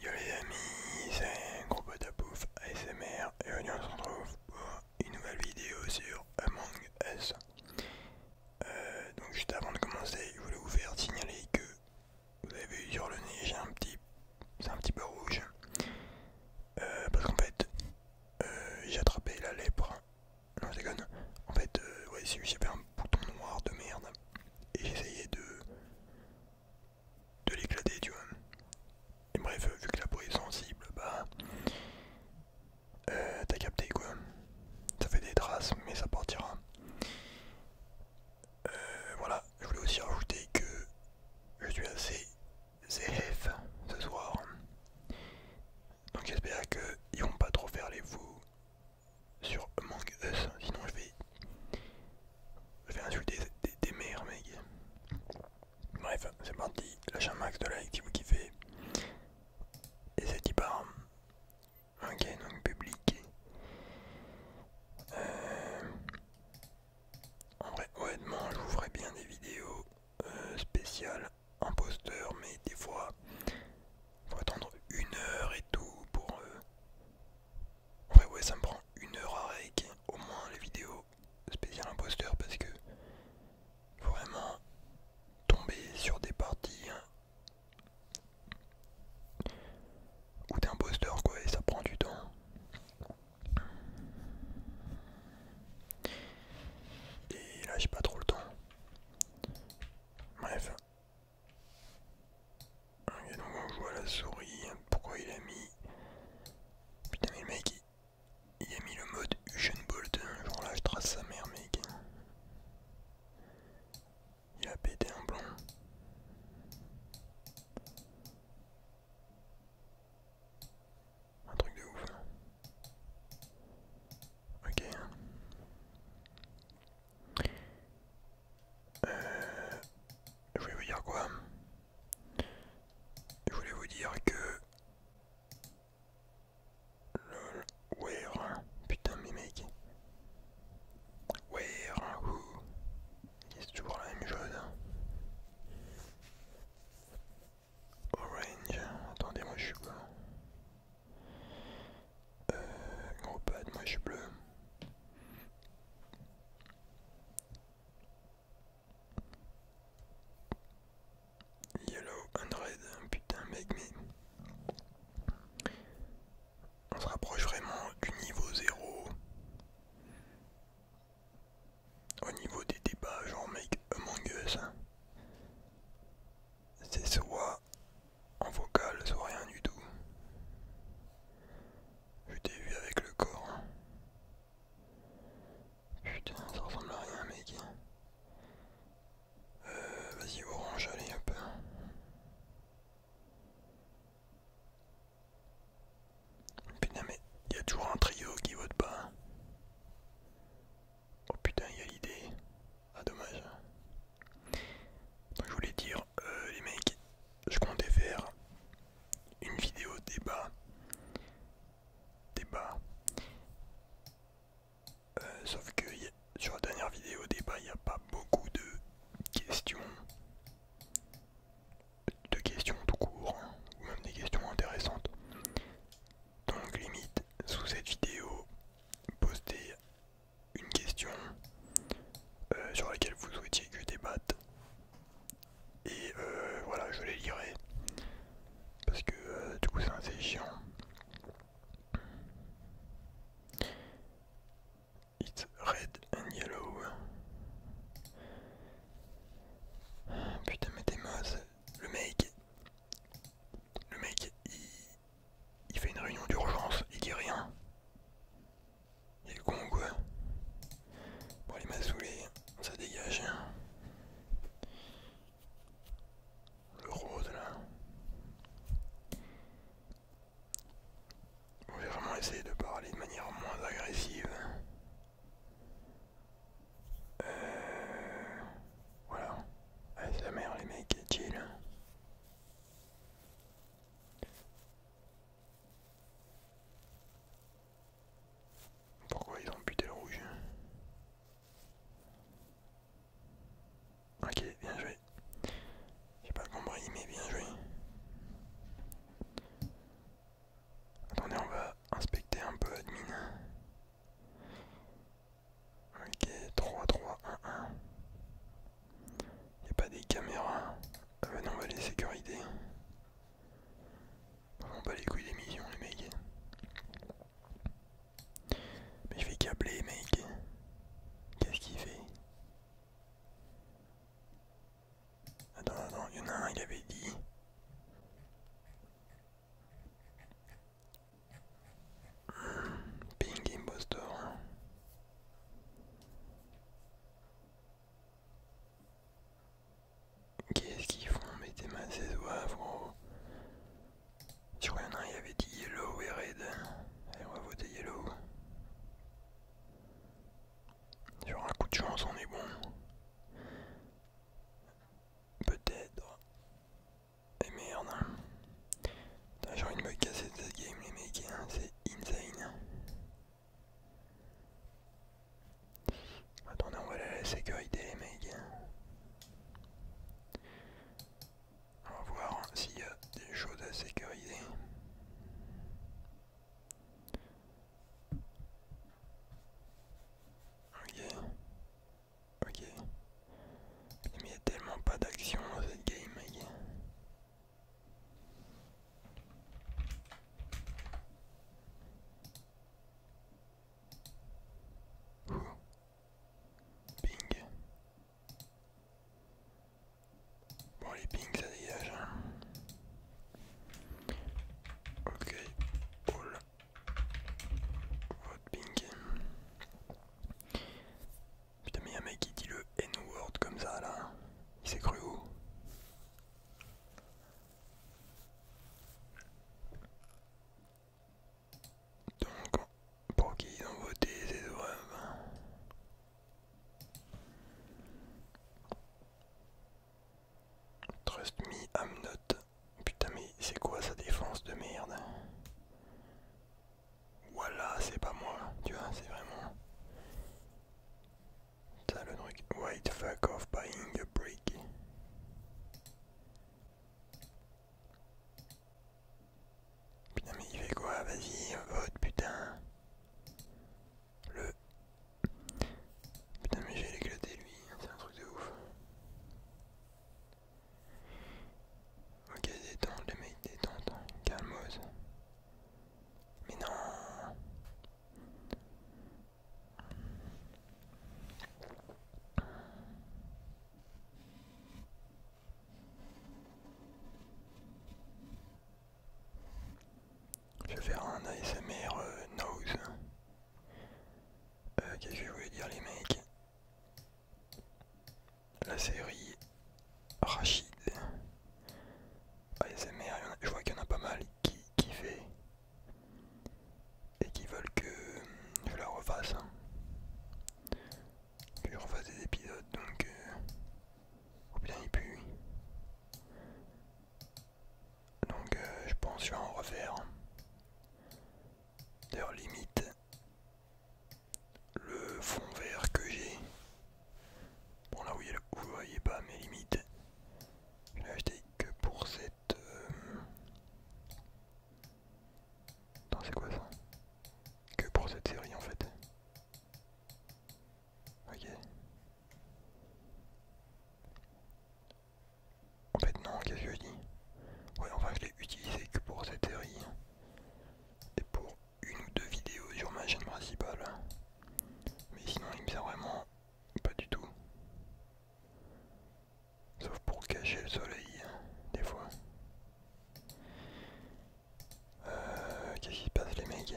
Yo les amis, c'est Groupe Pouf ASMR et aujourd'hui on se retrouve pour une nouvelle vidéo sur Among Us. Euh, donc juste avant de commencer, je voulais vous faire signaler que vous avez vu sur le nez, j'ai un petit, c'est un petit peu rouge, euh, parce qu'en fait euh, j'ai attrapé la lèpre. Non je En fait, euh, ouais, j'avais un bouton noir de merde et j'essayais de de l'éclater, tu vois. Et bref, vu que la peau est sensible, bah. Euh, t'as capté quoi. Ça fait des traces, mais ça partira. Euh, voilà, je voulais aussi rajouter que je suis assez ZF ce soir. Donc j'espère qu'ils vont pas trop faire les fous sur Among Us, sinon je vais, insulter des, des, Bref, c'est parti, lâche un max de like si vous kiffez. Et c'est pas par. Ok, donc public. Euh, en vrai, honnêtement, je vous bien des vidéos euh, spéciales spéciales poster, mais des fois faut attendre une heure et tout pour euh, Ouais ouais ça me prend une heure à au moins les vidéos spéciales imposteur parce que faut vraiment tomber sur des parties hein, ou imposteur quoi et ça prend du temps et là j'ai pas trop le temps bref Ok, donc on voit la souris. Hein. Pourquoi il a mis. Putain, mais le mec, il, a mis le mode Usain Bolt. Hein. Genre là, je trace sa mère, mec. Il a pété un blanc. Un truc de ouf. Hein. Ok. Euh, je voulais vous dire quoi Je voulais vous dire que... Lol, where Putain mes mecs, Where Who C'est toujours la même chose. Hein. Orange. Attendez, moi je suis quoi euh, gros pad, moi je suis bleu. Yellow red, putain mec, mais on se rapproche vraiment du niveau 0. Au niveau des débats, genre mec Among hein. c'est soit en vocal soit rien du tout. Je t'ai vu avec le corps. Putain, ça ressemble à rien, mec. Euh, vas-y, orange, allez, un peu. Putain, mais il y a toujours un trio qui vote pas. Oh putain, il y a l'idée. Ah dommage. je voulais dire, euh, les mecs, je comptais faire une vidéo débat. Débat. Euh, sauf que sur la dernière vidéo débat, il n'y a pas beaucoup de questions. De questions tout court, hein, ou même des questions intéressantes. Donc limite, sous cette vidéo, postez une question euh, sur laquelle vous souhaitiez que je débatte. Et euh, voilà, je les lirai. Parce que euh, du coup, c'est assez chiant. It's red and yellow. Putain, mais t'es Le mec. Le mec, il, il fait une réunion d'urgence, il dit rien. Il est con quoi Bon les m'a saoulé, ça dégage. Le rose là. On va vraiment essayer de parler de manière moins agressive. Euh... Voilà. Allez, sa la les mecs, chill. Pourquoi ils ont buté le rouge hein Ok, bien joué. J'ai pas compris, mais bien joué. Attendez, on va inspecter un peu admin. Ok, 3, 3, 1, 1. Y'a pas des caméras. Ah bah non, les sécuriser. On pas les couilles des les mecs. Mais je vais câbler, les mecs. Qu'est-ce qu'il fait Attends, attends, il y en a un, qui avait dit. Pink imposter. Qu'est-ce qu'ils font Mettez ma ces oies, gros. Sur un, il y avait dit yellow et red. Allez, on va voter yellow. Genre un coup de chance, on est bon. Peut-être. Eh merde. j'ai envie de me casser de cette game, les mecs, hein, c'est insane. Attendez, on va aller à la sécurité, les mecs. Hein. On va voir s'il y a des choses à sécuriser. Ok. Ok. Mais il n'y a tellement pas d'action dans cette game, mec. Ping. Bon, les pings ça dégage. Hein. Ok. Poule Vote pink. Putain, mais y'a un mec qui dit le N-word comme ça là. Il s'est cru où Donc, pour qui ils ont voté ces oeuvres Trust me, I'm not Putain mais c'est quoi sa défense de merde Voilà c'est pas moi tu vois c'est vraiment Putain, le truc White fuck off buying a brick. Putain mais il fait quoi vas-y vote putain Le Putain mais je vais l'éclater lui c'est un truc de ouf Ok, détente les mecs, détente, calmose. Mais non je vais faire un ASMR euh, nose. Euh, qu'est-ce que je vous dire les mecs la série Rachid. ASMR, je vois qu'il y en a pas mal qui kiffent et qui veulent que je la refasse. Hein. Que je refasse des épisodes donc. Ou euh, bien il Donc euh, je pense que je vais en refaire. Hein. D'ailleurs limite le fond vert que j'ai. Bon là vous voyez, vous voyez pas mes limites Je l'ai acheté que pour cette... dans euh, c'est quoi ça Que pour cette série en fait. Ok. En fait non, qu'est-ce que je dis Ouais, enfin je l'ai utilisé que pour cette série hein. et pour une ou deux vidéos sur ma chaîne principale. Hein. Mais sinon il me sert vraiment pas du tout. Sauf pour cacher le soleil, hein, des fois. Euh, Qu'est-ce qui se passe les mecs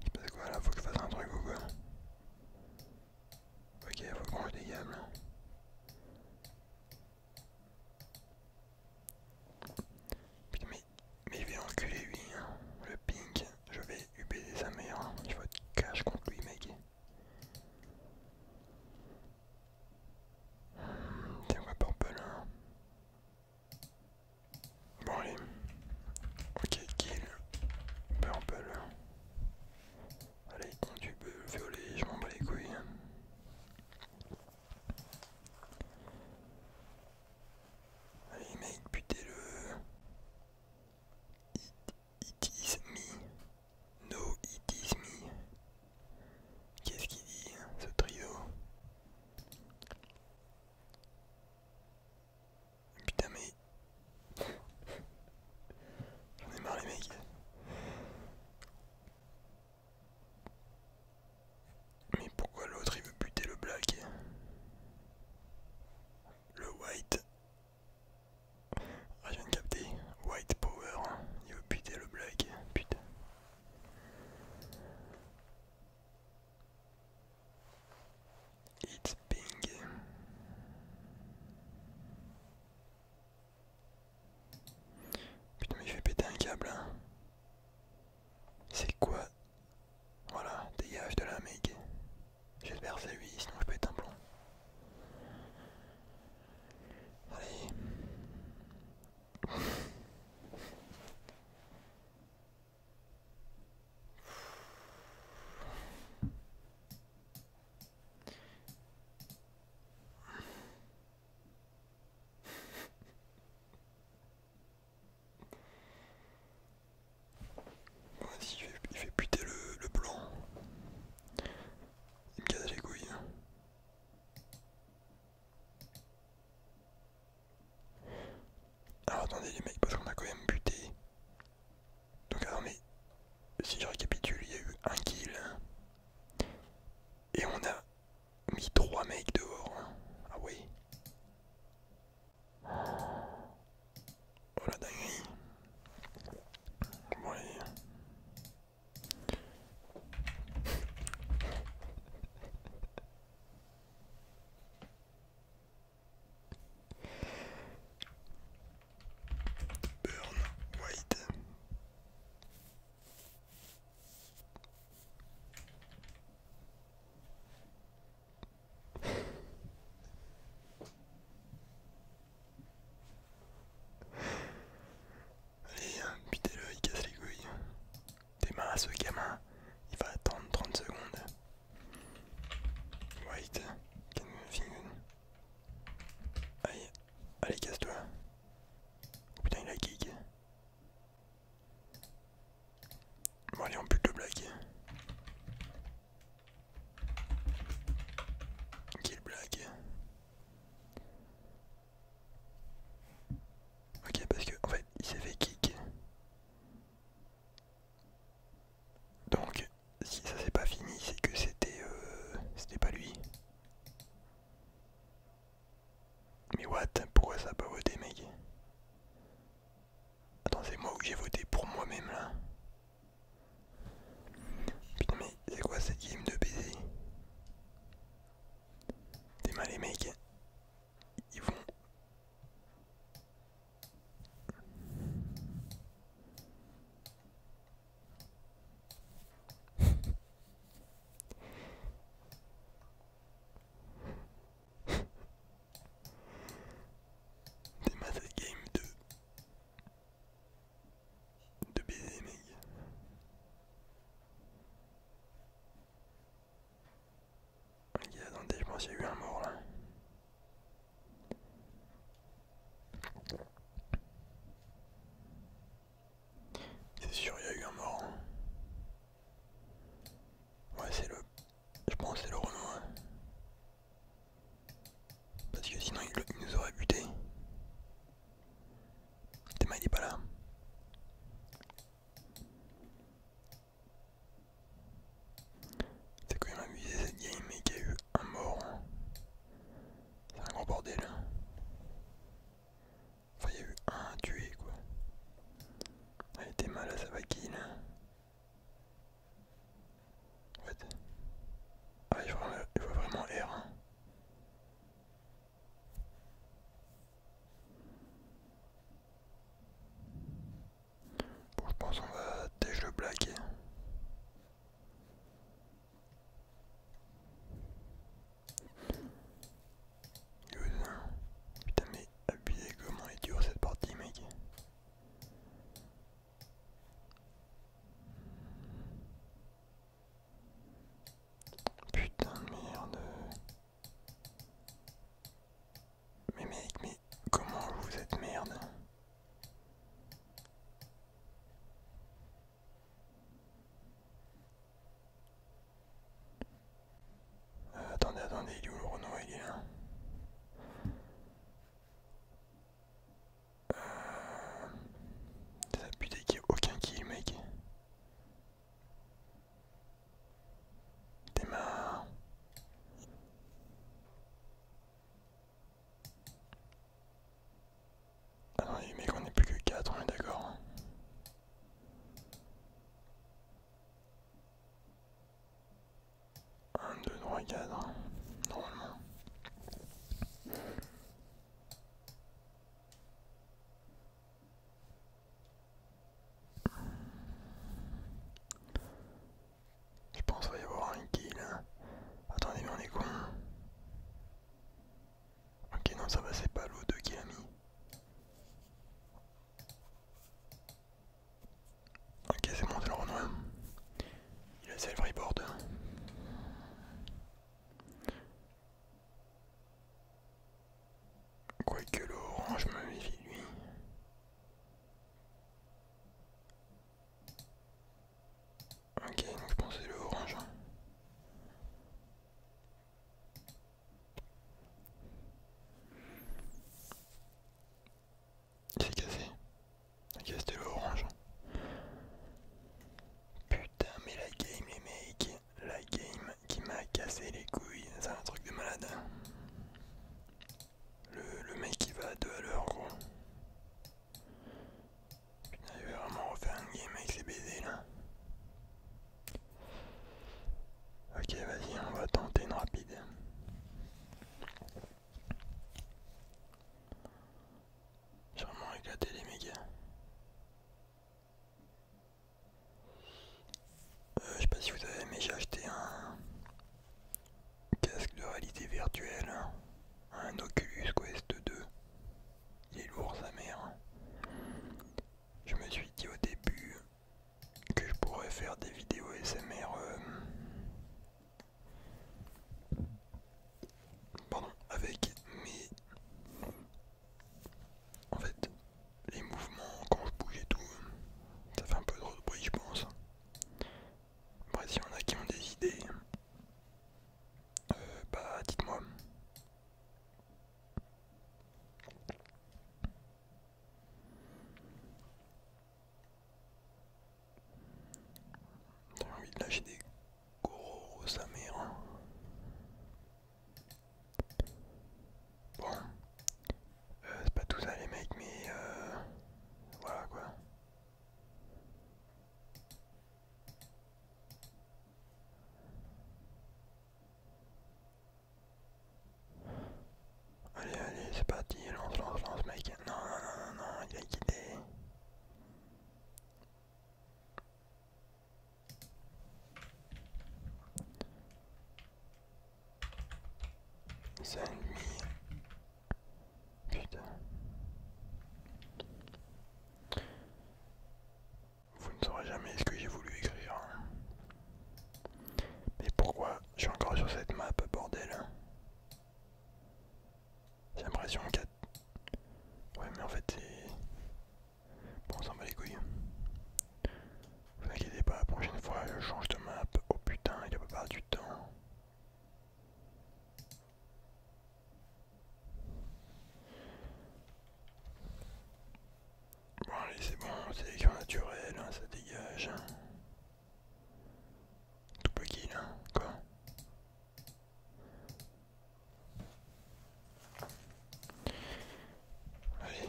Il se passe quoi là Faut que je fasse un truc ou quoi Ok, faut qu'on le des Putain, mais, il va enculer lui, hein. le pink. Je vais UP des mère. Hein. Je vais être cash contre lui, mec. Tiens, un purple là hein. Bon, allez. Ok, kill purple. Allez, le violet, je m'en bats les couilles. Allez mec, putez le... it is me. No, it is me. Qu'est-ce qu'il dit, hein, ce trio Putain mais... J'en ai marre les mecs. Mais pourquoi l'autre il veut buter le black Le white. Ah je viens de capter. White power. Il veut buter le black. Putain. It's ping. Putain mais je vais péter un câble hein. C'est quoi Voilà, dégage de la mec. J'espère c'est lui, sinon je peux un plomb. Allez. Vas-y, il, fait puter le, le blanc. Il me casse les couilles. Hein. Alors attendez les mecs, parce qu'on a quand même buté. Donc attendez, si je récapitule, il y a eu un kill. Hein. Et on a mis trois mecs dehors. Hein. Ah oui. Oh la dingue. Burn White. Allez, hein, butez-le, il casse les couilles. T'es à ce gamin. Il va attendre 30 secondes. White, Allez, allez casse-toi. Oh putain, il a kick. Bon, allez, on bute le blague. Kill blague. Ok, parce que en fait, il s'est fait kick. Donc si ça s'est pas fini, c'est que c'était euh, c'était pas lui. Mais what Pourquoi ça a pas voté mec Attends c'est moi où j'ai voté pour moi-même là Putain mais c'est quoi cette game de baiser T'es mal les mecs ils vont des Game 2 de bien mec il a attendez, je pense qu'il y a eu un mort là. C'est sûr, il y a eu un mort. Hein. Ouais, c'est le. Je pense que c'est le Renault. Hein. Parce que sinon, il, nous aurait buté. t'es il est pas là. C'est quand même amusé cette game et qu'il y a eu un mort. Hein. C'est un gros bordel. Hein. Enfin il y a eu un tué quoi. Elle était mal à sa vaquille. What hein. Ah il voit vraiment R. Bon, je pense qu'on va déjà le blaguer. Putain, mais abusé comment est dur cette partie, mec. Putain de merde. Mais mec, mais comment vous êtes merde euh, Attendez, attendez, il est où le Renault Il est là. Euh, ça aucun kill, mec démarre Ah il mais qu'on n'est plus que quatre, on est d'accord. Hein. Un, deux, trois, quatre, hein, normalement. Je pense qu'il va y avoir un kill. Hein. Attendez, mais on est con. Ok, non, ça va, c'est pas l'eau 2 qui a mis. Ok, c'est bon, c'est le renoi. Il a le board. Quoique l'orange me méfie lui. Ok, donc je pensais le orange. C'est cassé. Ok, c'était l'orange. Putain, mais la game, est mecs la game qui m'a cassé les couilles, c'est un truc de malade. Hein. Le, le mec qui va à 2 à l'heure gros. vraiment refaire un game avec ces baisers là. Ok, vas-y, on va tenter une rapide. J'ai vraiment éclaté les méga. Euh, je sais pas si vous avez mais j'ai acheté un casque de réalité virtuelle, un Oculus Quest 2. Il est lourd sa mère. Je me suis dit au début que je pourrais faire des vidéos SMR euh, pardon, avec mes... En fait, les mouvements quand je bouge et tout, ça fait un peu de bruit je pense. Après si on a qui ont des idées, euh, bah dites-moi. J'ai envie de lâcher des gros à mère. Bon, euh, c'est pas tout ça les mecs, mais euh, voilà quoi. Allez, allez, c'est parti, lance, lance, lance, mec. Non, non, non, non, non, il a quitté. Ça Putain. Vous ne saurez jamais ce que j'ai voulu écrire. Hein. Mais pourquoi je suis encore sur cette map, bordel hein. J'ai l'impression que... Ouais mais en fait c'est... Bon, on s'en bat les couilles. Hein. Vous inquiétez pas, la prochaine fois je change de map. Oh putain, il a pas perdu du temps. Bon allez c'est bon, sélection naturelle, hein, ça dégage. Hein. Tout petit là, quoi Allez,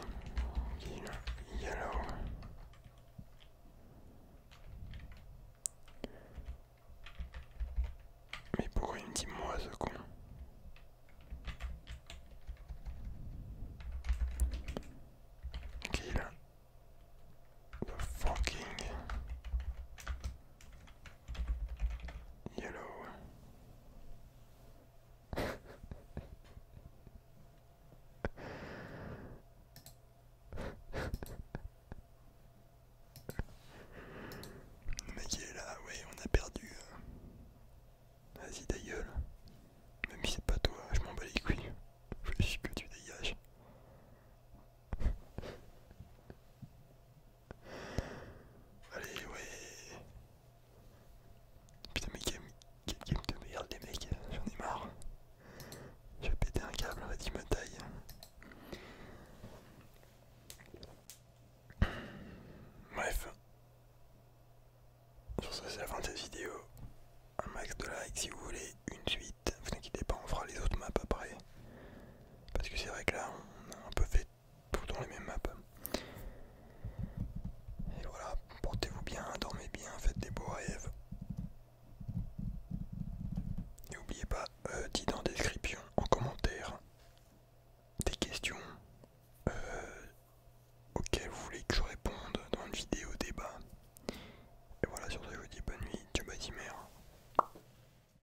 il y Mais pourquoi il me dit moi ce con Kill the fucking Yellow. Mais qui est là, Oui, on a perdu. Euh. Vas-y, d'ailleurs. gueule. Même si c'est pas toi, je m'en bats les couilles. Je que tu dégages. Allez, ouais. Putain, mais quel game de merde, les mecs, j'en ai marre. Je vais péter un câble, fait, il me taille. Bref. Sur ce, c'est la fin de cette vidéo. Un max de likes si vous voulez une suite. Vous inquiétez pas, on fera les autres maps après. Parce que c'est vrai que là, on a un peu fait dans les mêmes maps. Et voilà, portez-vous bien, dormez bien, faites des beaux rêves. N'oubliez pas, euh, dites en description, en commentaire, des questions euh, auxquelles vous voulez que je réponde dans une vidéo débat. Et voilà, sur je vous dis bonne nuit, vas bye, mer.